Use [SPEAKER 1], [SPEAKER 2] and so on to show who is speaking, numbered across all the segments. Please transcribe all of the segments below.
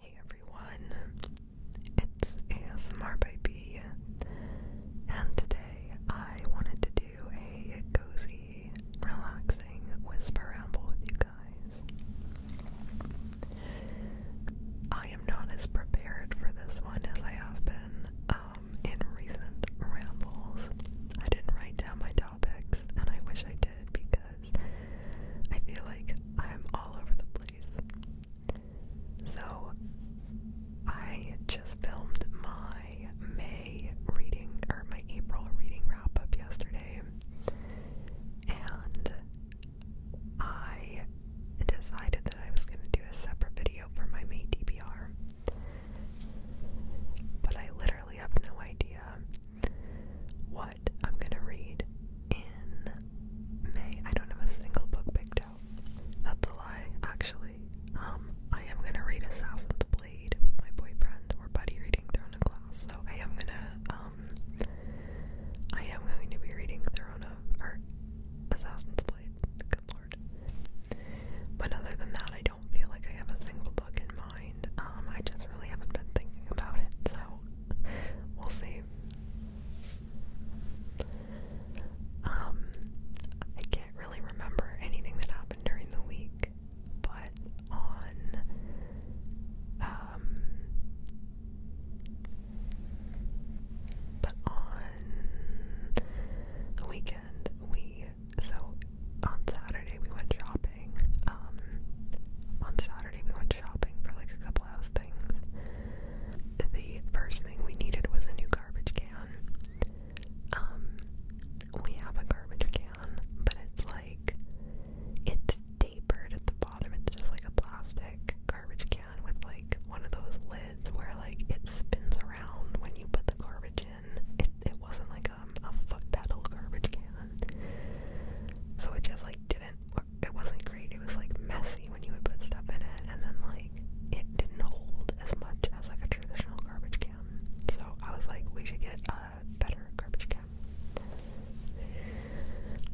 [SPEAKER 1] Hey everyone, it's ASMR Baby, and today I wanted to do a cozy, relaxing whisper ramble with you guys. I am not as prepared for this one as I have been um, in recent rambles. I didn't write down my topics, and I wish I did because I feel like I'm all over the place. So I just filmed my May reading or my April reading wrap up yesterday, and I decided that I was going to do a separate video for my May DBR, But I literally have no idea what I'm gonna read in May. I don't have a single book picked out. That's a lie, actually. Um, I am gonna read Assassin's Blade with my boyfriend. or buddy reading Throne of Glass, so I am gonna um, I am going to be reading Throne of or Assassin's Blade. Good lord. But other than that I don't feel like I have a single book in mind. Um, I just really haven't been thinking about it, so we'll see. Um, I can't really remember anything that happened during the week, but on um, but on the weekend we so on Saturday we went shopping um, on Saturday, we went shopping for like a couple house things. The first thing we needed was a new garbage can. Um, we have a garbage can, but it's like it's tapered at the bottom. It's just like a plastic garbage can with like one of those lids where like it spins around when you put the garbage in. It it wasn't like um, a foot pedal garbage can, so it just like didn't it wasn't great. It was like messy when you would put stuff in it, and then like it didn't hold as much as like a traditional garbage can. So I was like, we should get a better garbage can.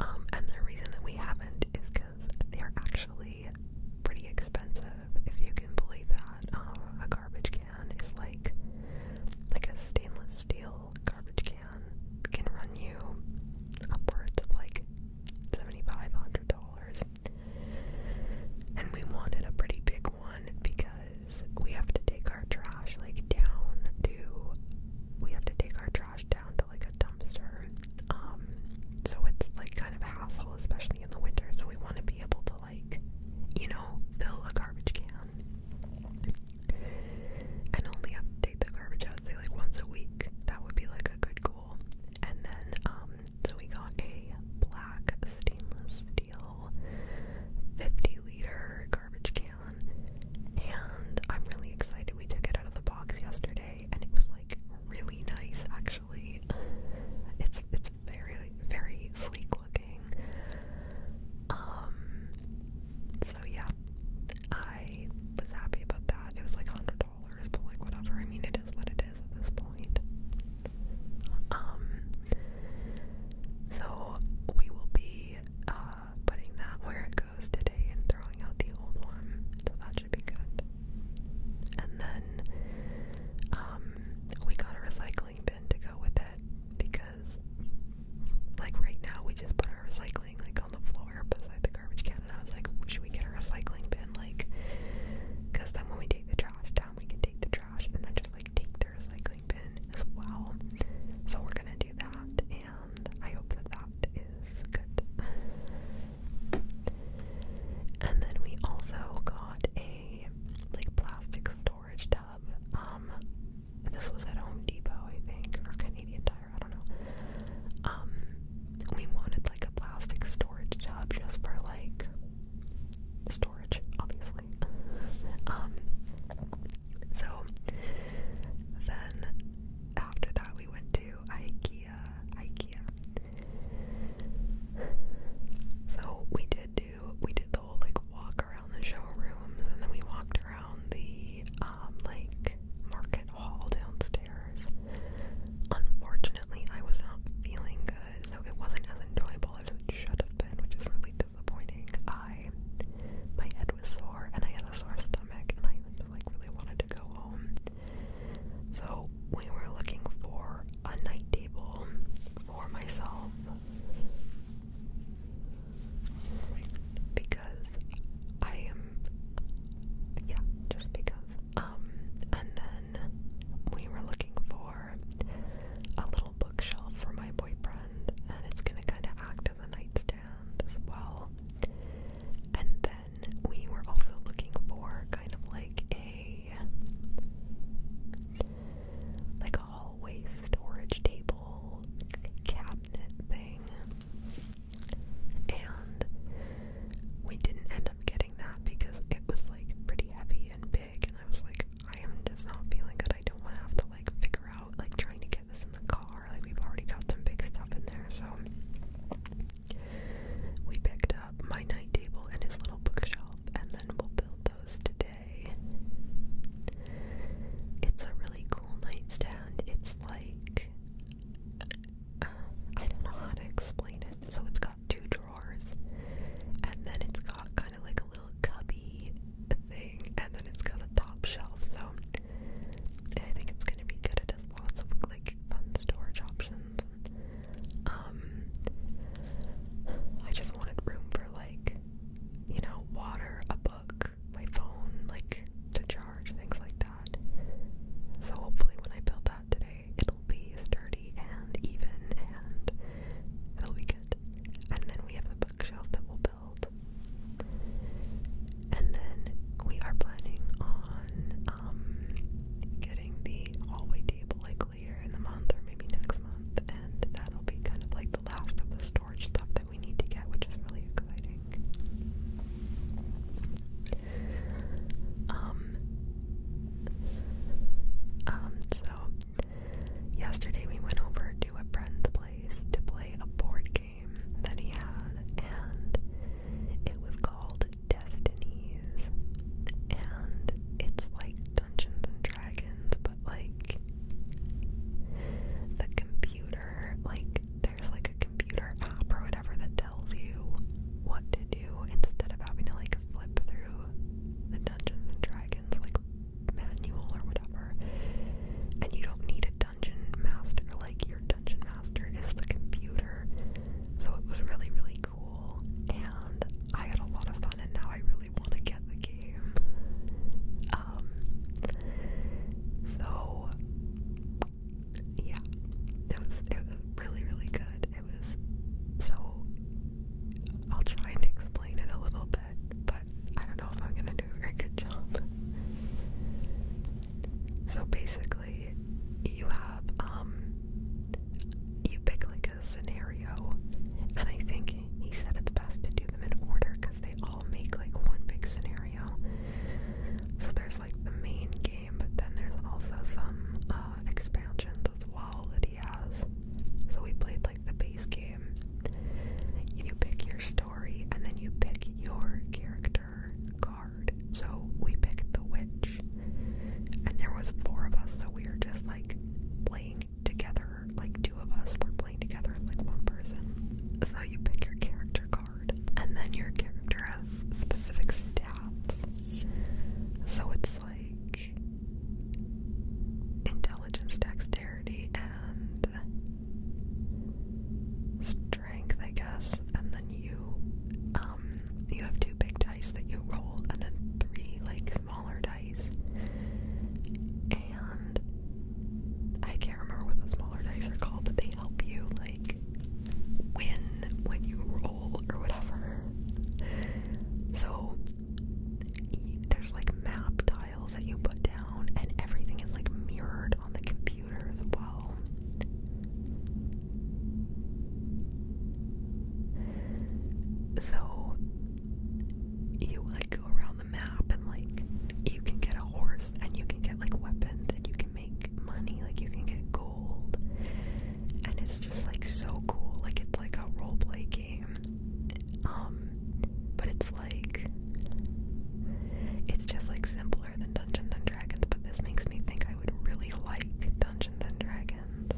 [SPEAKER 1] Um, and the reason that we haven't is because they are actually pretty expensive, if you can believe that. Um, a garbage can is like like a stainless steel garbage can can run you upwards of like $7,500. And we wanted a pretty big one because we have to take our trash like down to, we have to take our trash down to like a dumpster. Um, so it's like kind of a hassle, especially in the winter. So we want to be able to like, you know, fill a garbage can and only update the garbage out say like once a week. That would be like a good goal. And then um, so we got a black stainless steel 50 liter garbage can and I'm really excited we took it out of the box yesterday and it was like really nice actually. It's it's very very sleek looking. Um, so yeah, I was happy about that. It was like $100, but like whatever. I mean, it is what it is at this point. Um, so we will be uh, putting that where it goes today and throwing out the old one. So that should be good. And then um, we got a recycling bin to go with it because because like right now we just put our recycling like on the floor beside the garbage can and I was like should we get a recycling bin like because then when we take the trash down we can take the trash and then just like take the recycling bin as well so we're gonna do that and I hope that that is good and then we also got a like plastic storage tub um this was at Home Depot, I think, or Canadian Tire, I don't know. Um, we wanted like a plastic storage tub just for like storage, obviously. Um, so then after that, we went to IKEA. IKEA. So we did do we did the whole like walk around the showrooms, and then we walked around the um, like market hall downstairs. Unfortunately, I was not feeling good, so it wasn't as enjoyable as it should have been, which is really disappointing. I my head was sore and I had a sore stomach, and I like really wanted to go home. So we were looking for a night table for myself because I am yeah, just because. Um and then we were looking for a little bookshelf for my boyfriend and it's gonna kinda act as a nightstand as well. And then we were also looking for kind of like a like a hallway storage table cabinet thing and we didn't end up getting that because it was like pretty heavy and big and I was like, I am just not feeling good. I don't want to have to like figure out like trying to get this in the car. Like we've already got some big stuff in there, so we picked up my night table and his little bookshelf and then we'll build those today. It's a really cool nightstand. It's like um, I don't know how to explain it. So it's got two drawers, and then it's got kind of like a little cubby thing, and then it's got a top shelf. So I think it's gonna be good. It has lots of like fun storage options. Um, I just wanted room for like you know water, a book, my phone, like to charge, things like that. So hopefully when I build that today, it'll be sturdy and even and it'll be good. And then we have the bookshelf that we'll build. And then we are planning on um getting the hallway table like later in the month or maybe next month and that'll be kind of like the last of the story stuff that we need to get, which is really exciting. Um, um, so yesterday we went over to a friend's place to play a board game that he had, and it was called Destinies, and it's like Dungeons and Dragons, but like the computer, like there's like a computer app or whatever that tells you what to do instead of having to like flip through the Dungeons and Dragons like manual or whatever. And you don't need a dungeon master, like your dungeon master is the computer. So it was really, really cool and I had a lot of fun and now I really want to get the game. Um, so yeah, it was it was really really good. It was so I'll try and explain it a little bit, but I don't know if I'm gonna do a very good job. So basically, you have um you pick like a scenario, and I think he said it's best to do them in order because they all make like one big scenario scenario. So there's like the main game, but then there's also some uh, expansions as well that he has. So we played like the base game. You pick your story and then you pick your character card. So we picked the witch, and there was four of us, so we were just like playing together. Like two of us were playing together like one person. So you pick your character card, and then your character has specific stats. So it's like intelligence, dexterity, and strength, I guess. And then you, um, you have two big dice that you roll, and then three like smaller dice and I can't remember what the smaller dice are called, but they help you like win when you roll or whatever. So there's like map tiles that you put down, and everything is like mirrored on the computer as well. So you like go around the map, and like you can get a horse and you can get like weapons, and you can make money, like you can get gold, and it's just like so cool. Like it's like a role play game, um, but it's like it's just like simpler than Dungeons and Dragons. But this makes me think I would really like Dungeons and Dragons.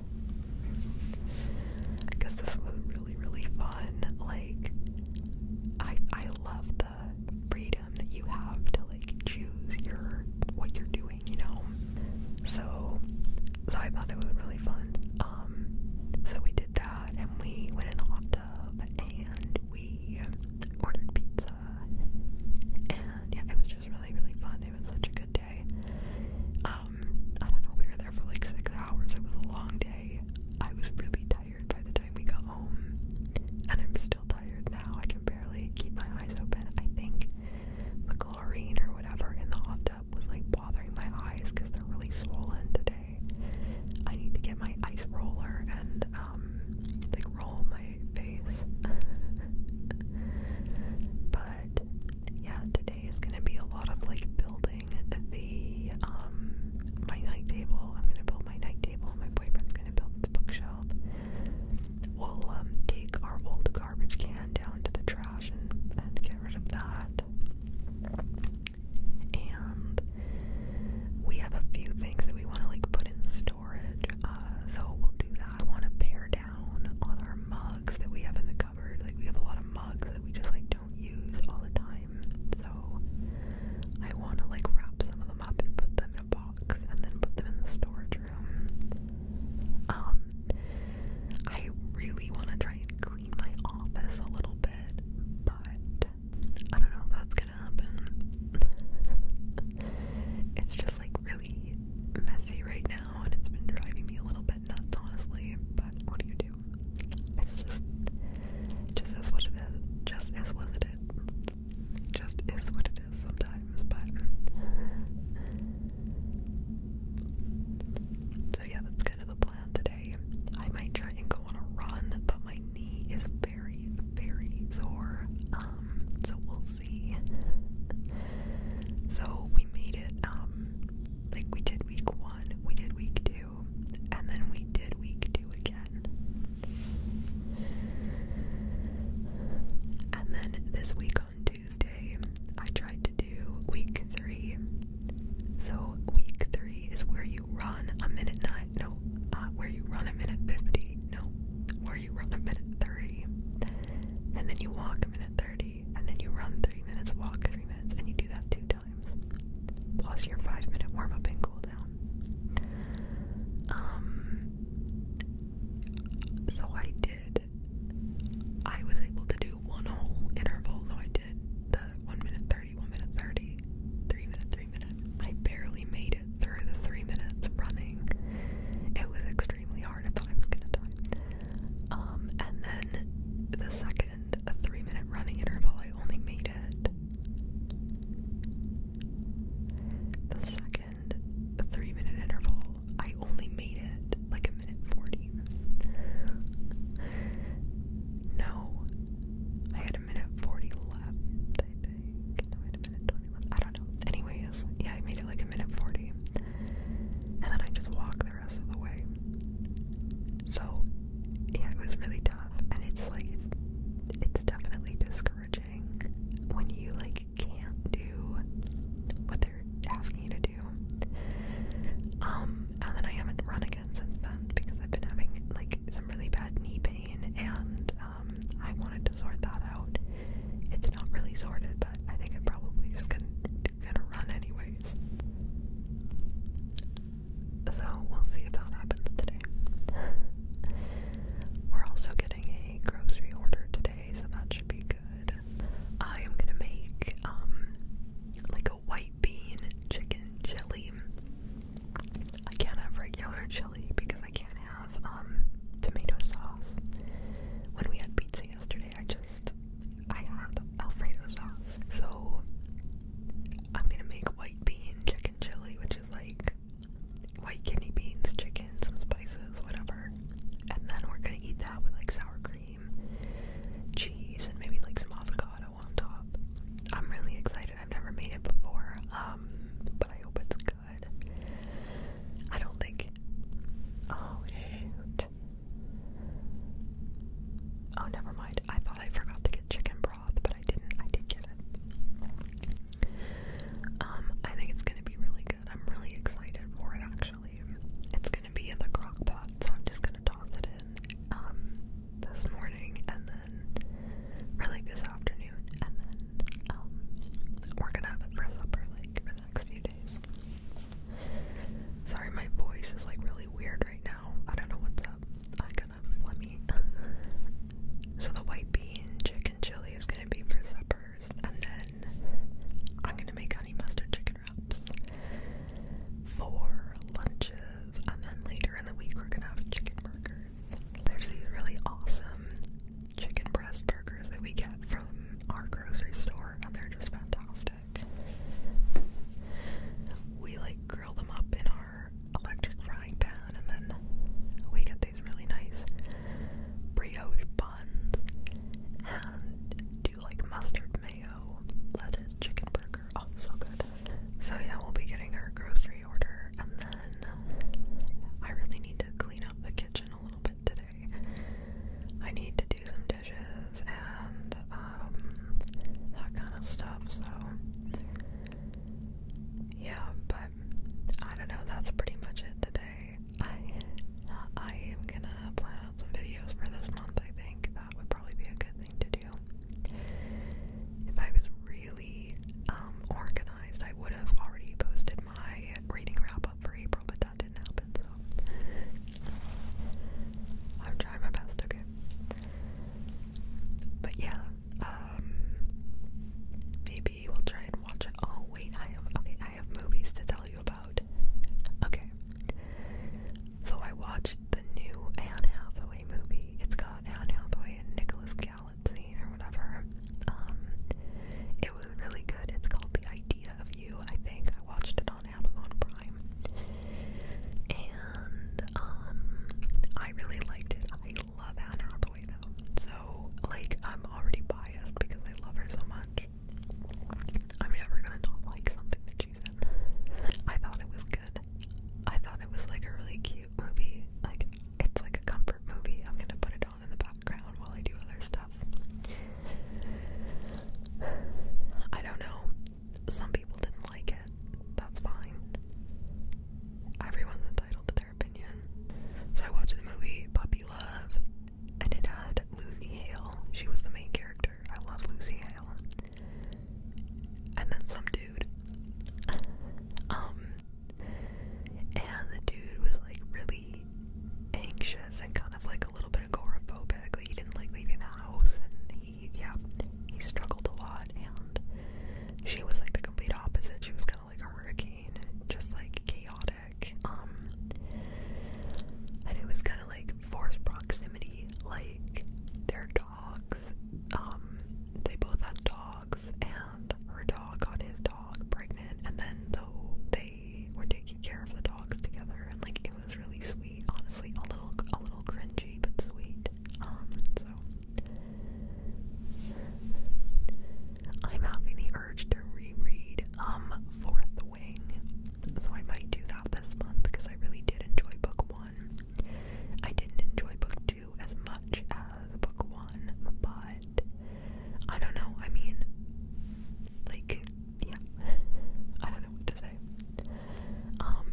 [SPEAKER 1] I this was really really fun. Like I I love freedom that you have to like choose your what you're doing, you know. So so I thought it was really fun. Um, so we did that and we went in the hot tub and we ordered pizza and yeah it was just really really fun. It was such a good day. Um, I don't know, we were there for like six hours. It was a long day. I was really tired by the time we got home, and I'm still tired now. I can barely keep my eyes open. I think the chlorine or whatever in the hot tub was like bothering my eyes because they're really swollen today. I need to get my ice roller and um, like roll my face. but yeah, today is gonna be a lot of like building the um my night table. I'm gonna build my night table. My boyfriend's gonna build the bookshelf. We'll um take our old garbage can down to the trash and, and get rid of that. And we have a few things that we want to like put in storage. Uh, so we'll do that. I want to pare down on our mugs that we have in the cupboard. Like we have a lot of mugs that we just like don't use all the time. So I want to like wrap some of them up and put them in a box and then put them in the storage room. Um, I really want to try and clean my office a little bit, but I don't know if that's gonna happen. it's just like really messy right now, and it's been driving me a little bit nuts, honestly. But what do you do? It's just, just as what it is. Just as what it get just is what it is sometimes, but so yeah, that's kind of the plan today. I might try and go on a run, but my knee is very, very sore. Um, so we'll see. So we made it. Um, like we did week one, we did week two and then we did week two again. And then this week on Tuesday, I tried to do week three. So, week three is where you run a minute nine, no, uh, where you run a minute 50, no, where you run a minute 30, and then you walk a minute 30, and then you run three minutes, walk three minutes, and you do that two times times. Plus your five minute warm up and cool down. Um, so I did. I was able to do one whole interval. So I did the one minute thirty, one minute thirty, three minute, three minute. I barely made it through the three minutes running. It was extremely hard. I thought I was gonna die. Um, and then the second three minute running interval, I only made read it. The three minute interval, I only made it like a minute 40. No, I had a minute 40 left, I think. No, a minute 20 I don't know. Anyways, yeah, I made it like a minute 40. And then I just walked the rest of the way. So yeah, it was really tough, and it's like it's, definitely discouraging when you like can't do what they're asking you to do. Um, and then I haven't run again since then because I've been having like some really bad knee pain, and um, I wanted to sort that out. It's not really sorted, but I think I'm probably just gonna gonna run anyways. So we'll see if that happens today. We're also getting a grocery order today, so that should be good. I am gonna make um like a white bean chicken chili. I can't have regular chili because I can't have um tomato sauce. When we had pizza yesterday, I just I had Alfredo sauce. So I'm gonna make white bean chicken chili, which is like white kidney beans, chicken, some spices, whatever. And then we're gonna eat that with like sour cream, cheese, and maybe like some avocado on top. I'm really excited. I've never made it before, um, but I hope it's good. I don't think. Oh shoot. Oh, never mind. I thought I forgot to get chicken broth but I didn't. I did get it. Um, I think it's gonna be really good. I'm really excited for it. Actually, it's gonna be in the crock pot, so I'm just gonna toss it in um, this morning, and then, or like this afternoon, and then um, we're gonna have it for supper, like for the next few days. Sorry, my voice is like really weird right now. I don't know what's up. I am gonna let me. so the white bean chicken chili is gonna be for suppers, and then I'm gonna make honey mustard chicken wraps for lunches, and then later in the week we're gonna have chicken burgers. There's these really awesome chicken breast burgers that we get from our grocery store, and they're just fantastic. We like grill them up in our electric frying pan, and then we get these really nice brioche buns and do like mustard mayo, lettuce, chicken burger. Oh, so good. So, yeah, we'll be getting our grocery order, and then I really need to clean up the kitchen a little bit today. I need to do some dishes and um, that kind of stuff, so yeah, but I don't know. That's pretty much it today. I I am gonna plan out some videos for this month. I think that would probably be a good thing to do. If I was really um, organized, I would have already posted my reading wrap up for April, but that didn't happen. So I'm trying my best. Okay. But yeah, um, maybe we'll try and watch it. Oh wait, I have okay. I have movies to tell you about. Okay. So I watched the new Anne Hathaway movie. It's got Anne Hathaway and Nicholas Galitzine or whatever. Um, it was really good. It's called The Idea of You. I think I watched it on Amazon Prime. And um, I really liked it. I love Anna Hathaway though, so like I'm already biased because I love her so much. I'm never gonna not like something that she's in. I thought it was good. I thought it was like a really cute movie. Like it's like a comfort movie. I'm gonna put it on in the background while I do other stuff. I don't know people didn't like it. That's fine. Everyone's entitled to their opinion. So I watched the movie Puppy Love, and it had Lucy Hale. She was the main character. I love Lucy Hale. And then some dude. um, and the dude was like really anxious and kind of like a little bit agoraphobic. Like he didn't like leaving the house, and he he, yeah, he struggled a lot, and she was like the complete opposite. She was kind of like a hurricane, just like chaotic. Um, and it was kind of like forced proximity, like their dogs. Um, they both had dogs, and her dog got his dog pregnant, and then though they were taking care of the dogs together, and like it was really sweet. Honestly, a little, a little cringy, but sweet. Um, so I'm having the urge to reread um Fourth Wing, so I might do that this month because I really did enjoy book one. I didn't enjoy book two as much as book one, but I don't know. I mean, like, yeah, I don't know what to say. Um,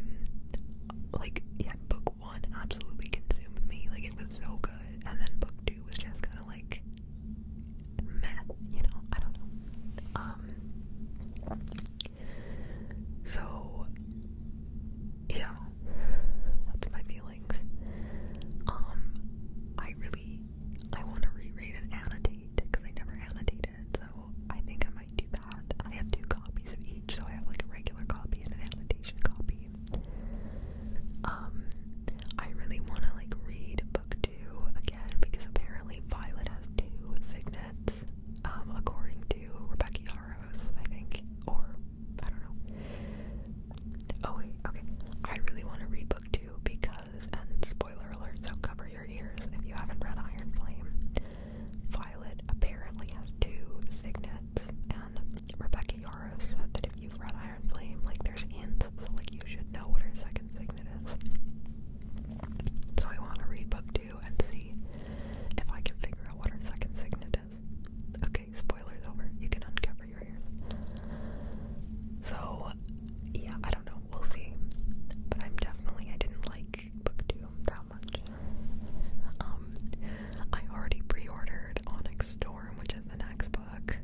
[SPEAKER 1] like, yeah, book one absolutely consumed me. Like it was so good, and then book two was just kind of like meh. You know, I don't know. Um. So yeah, that's my feelings. Um, I really I want to reread and annotate because I never annotated, so I think I might do I have two copies of each, so I have like a regular copy and an annotation copy. Um, I really want to like read book two again because apparently Violet has two signets, um, according to Rebecca Yarros, I think, or I don't know. Oh wait, okay. I really want to read book two because, and spoiler alert, so cover your ears if you haven't read Iron Flame. Violet apparently has two signets, and Rebecca Yarrow said that if you've read Iron Flame, like there's hints, like you should know what her second signet is. So I want to read book two and see if I can figure out what her second signet is. Okay, spoilers over. You can uncover your ears. So yeah, I don't know. We'll see. But I'm definitely I didn't like book two. That um, I already pre-ordered Onyx Storm, which is the next book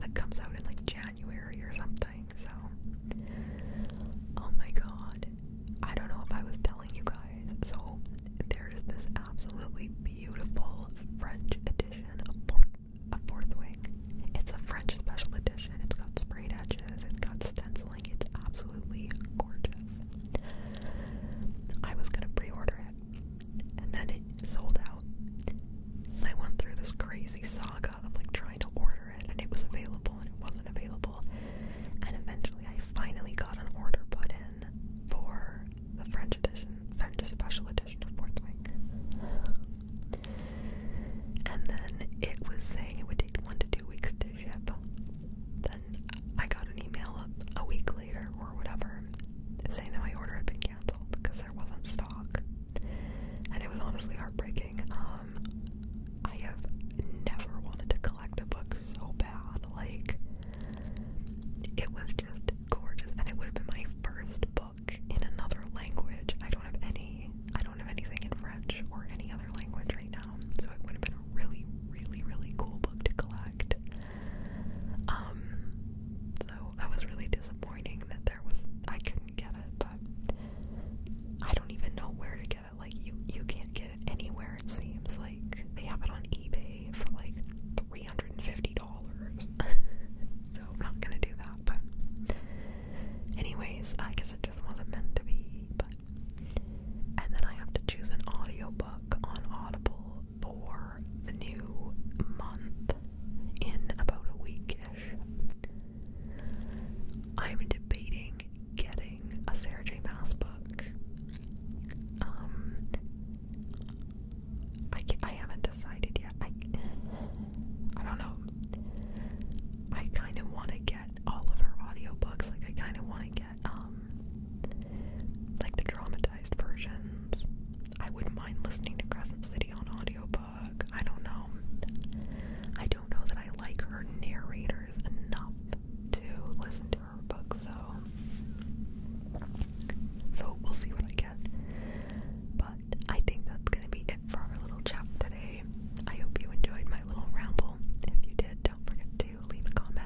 [SPEAKER 1] that comes out in like January or something. So, oh my god, I don't know if I was telling you guys. So there's this absolutely beautiful French edition of Fourth, of Fourth Wing. It's a French special edition. It's got sprayed edges. It's got stenciling. It's absolutely gorgeous. I was gonna pre-order it, and then it sold out. I went through this crazy saga of like trying to order it, and it was available, and it wasn't available. And eventually, I finally got an order put in for the French edition, French special edition of Fourth Wing. And then it was saying it would take one to two weeks to ship then I got an email a week later or whatever saying that my order had been canceled because there wasn't stock. And it was honestly heartbreaking. Um, I have never wanted to collect a book so bad. Like, it was just gorgeous. And it would have been my first book in another language. I don't have any, I don't have anything in French or any other language right now now, so it would have been a really, really, really cool book to collect. Um, so that was really disappointing that there was I couldn't get it, but I don't even know where to get it. Like you, you can't get it anywhere. It seems like they have it on eBay for like three hundred and fifty dollars. so I'm not gonna do that. But anyways, I guess it just wasn't meant to be. But and then I have to choose an audiobook on Audible for the new month in about a weekish. I'm debating getting a Sarah J. Maas book. Um, I I haven't decided yet. I I don't know. I kind of want to get all of her audiobooks. Like I kind of want to get um, like the dramatized versions. I wouldn't mind listening to Crescent City on audiobook. I don't know. I don't know that I like her narrators enough to listen to her book, so so we'll see what I get. But I think that's gonna be it for our little chat today. I hope you enjoyed my little ramble. If you did, don't forget to leave a comment